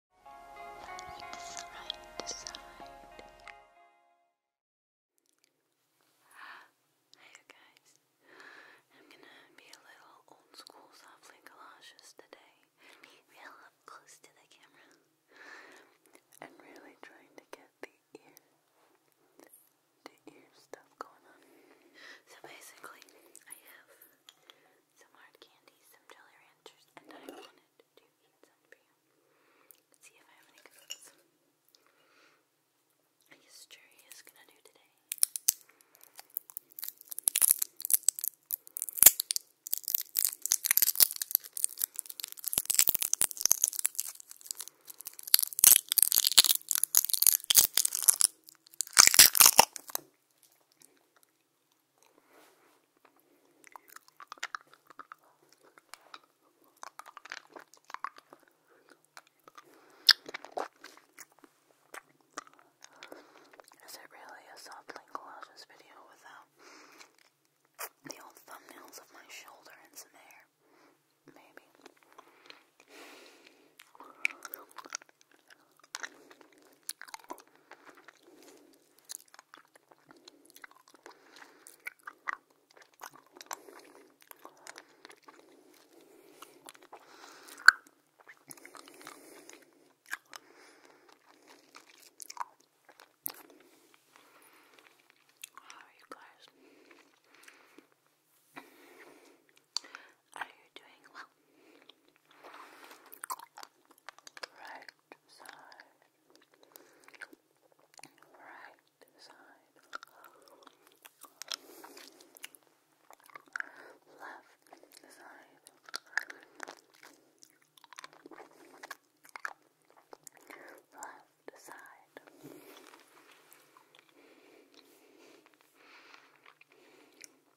It's right guys, I'm gonna be a little old school softly galoshes today. Be real up close to the camera. i really trying to get the ear, the ear stuff going on. So basically, I have some hard candy, some Jolly Ranchers, and I want wanted you. see if I have any cookies. I guess Cherry is gonna do today. Is it really a softly collages video without the old thumbnails of my shoulder and some hair? Maybe. How are you guys? Are you doing well? Right side, right side, left side, left side,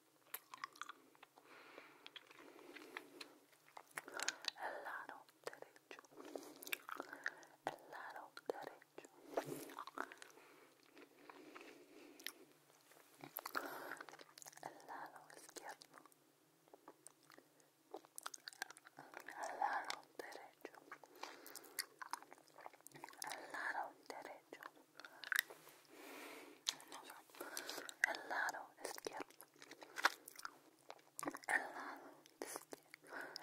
el lado derecho, el lado derecho, el lado izquierdo, el lado derecho, el lado derecho, el lado izquierdo el lado,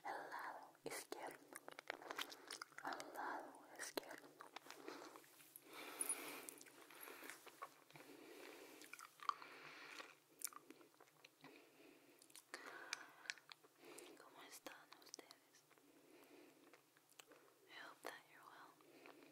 el lado izquierdo, al lado izquierdo. ¿Cómo están ustedes? I que that you're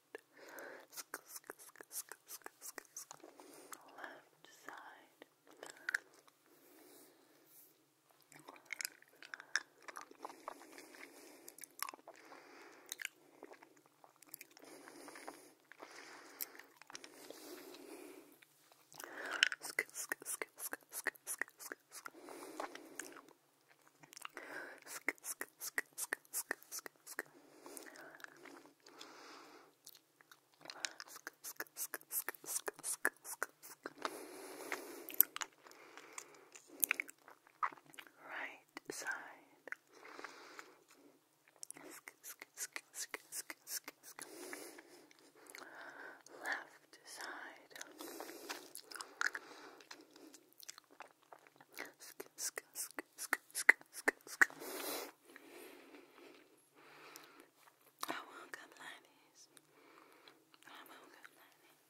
left side Sk sk sk sk sk sk sk sk Sk sk sk sk sk sk sk sk sk sk sk sk sk sk right side sk sk sk sk sk sk sk left side Sk sk sk sk sk sk sk. I won't come like this. I won't come like this.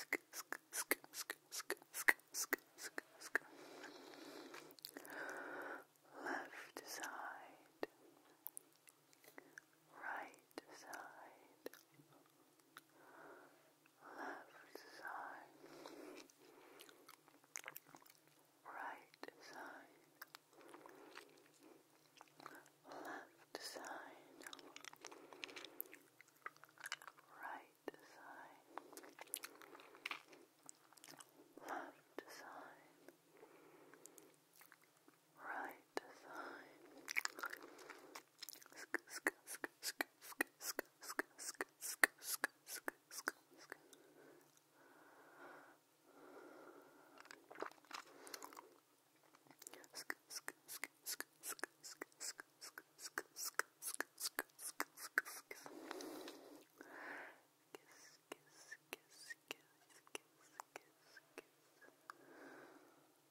Sk sk sk sk sk sk sk sk sk. Left side. Right side left side, right side, left side, right side, left side right side. Kiss, kiss, kiss, kiss, kiss, kiss, kiss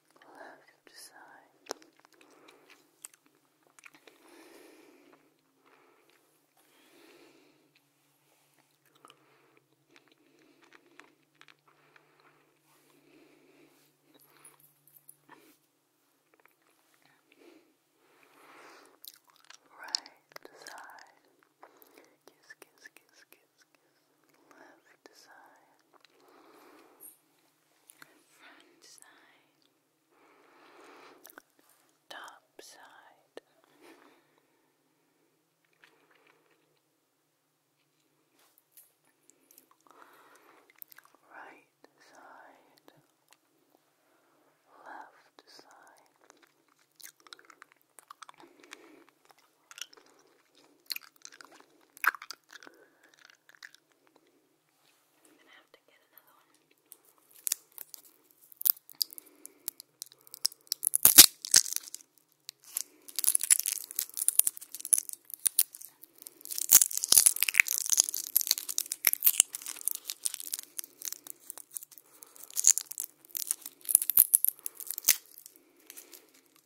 We'll Right side, kiss, kiss, kiss, kiss, kiss. Left side, front side, top side. Right side, left side, I'm gonna have to get another one. Okay.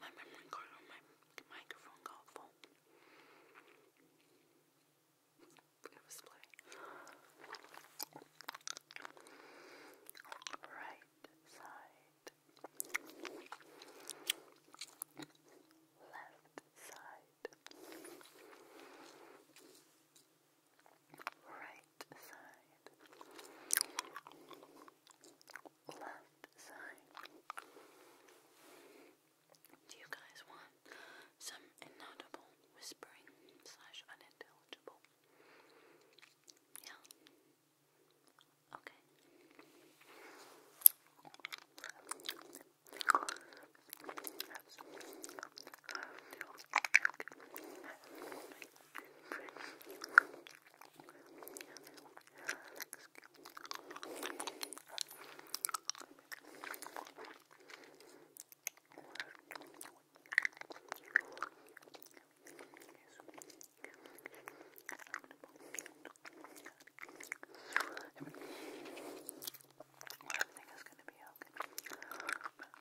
My memory card on my microphone got full. It Right side. Left side right side, left side. Do you guys want some inaudible whispering slash unintelligible? Yeah? Okay. I mean, well, everything is going to be okay. But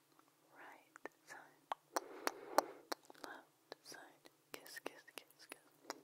right side, left side, kiss, kiss, kiss, kiss.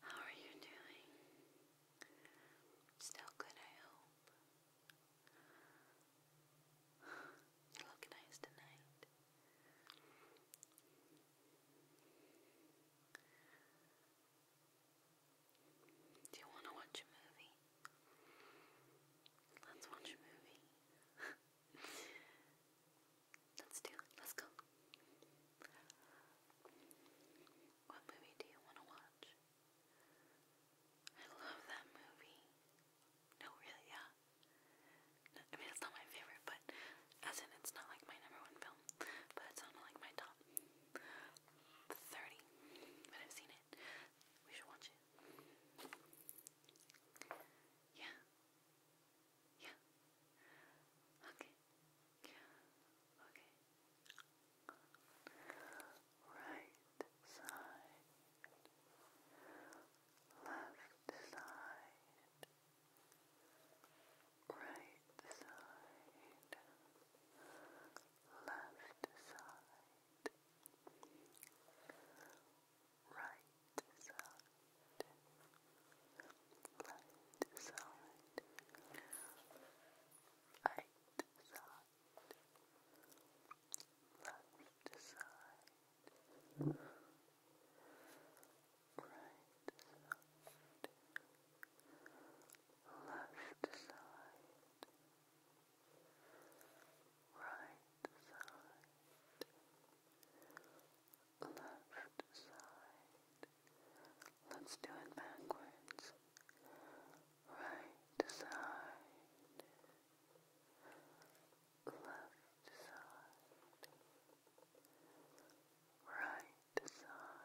How are you doing? Still good, I hope. You look nice tonight. Do you want to watch a movie? Let's watch a movie. Let's do it. Let's go. What movie do you want to watch? I love that movie. No, really, yeah. I mean, it's not my favorite, but as in, it's not like my number one film, but it's on like my top 30. But I've seen it. We should watch it. Yeah. Yeah. Okay. Okay. Right side. Left side. Right side. Left side right side, left side, right side, left side, right side, left side right side, left side. Let's do it backwards. Right side, left side, right side, left side.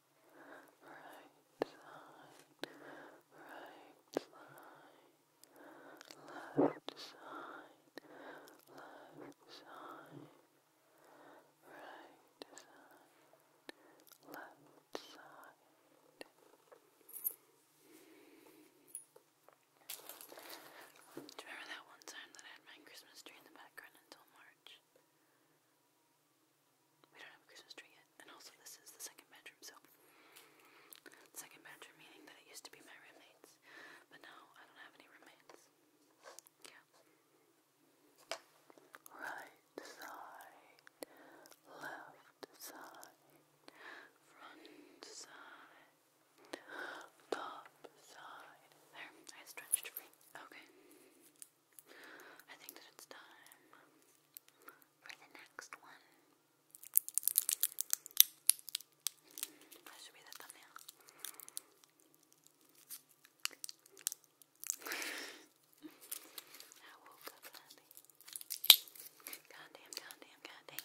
right side, right side, left side, left side, right side, left side. Do you remember that one time that I had my Christmas tree in the background until March? We don't have a Christmas tree yet. And also this is the second bedroom, so second bedroom meaning that it used to be my roommates. But now I don't have any roommates. Yeah. Right side, left side, front side, top side. There, I stretched free. Okay. I think that it's time for the next one. That should be the thumbnail. I woke up happy. Goddamn, goddamn, goddamn.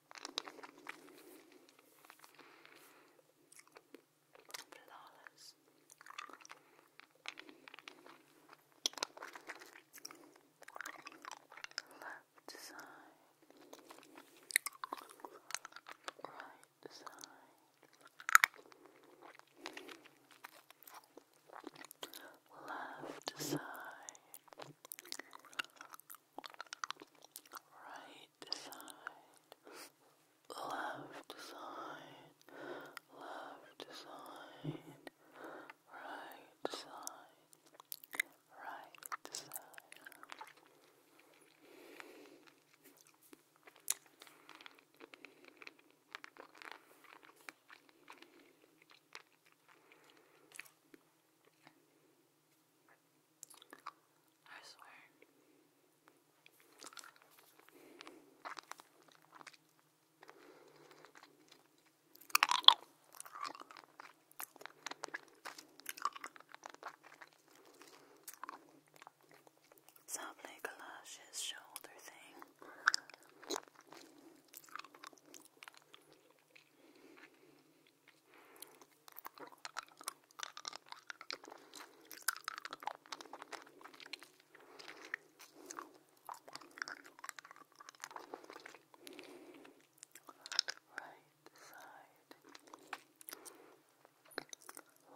Flawless. Left side, right side, left side, right side, left side, left side, right side, right side. I swear. Sounds like Kalash's shoulder thing. Right side,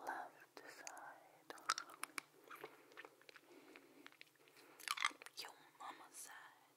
left side, your mama side,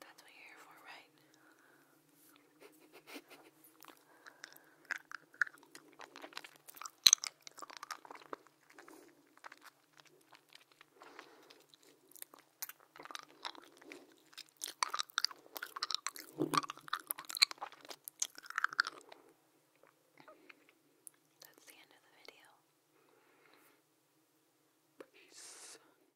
That's what you're here for, right? That's the end of the video. Peace.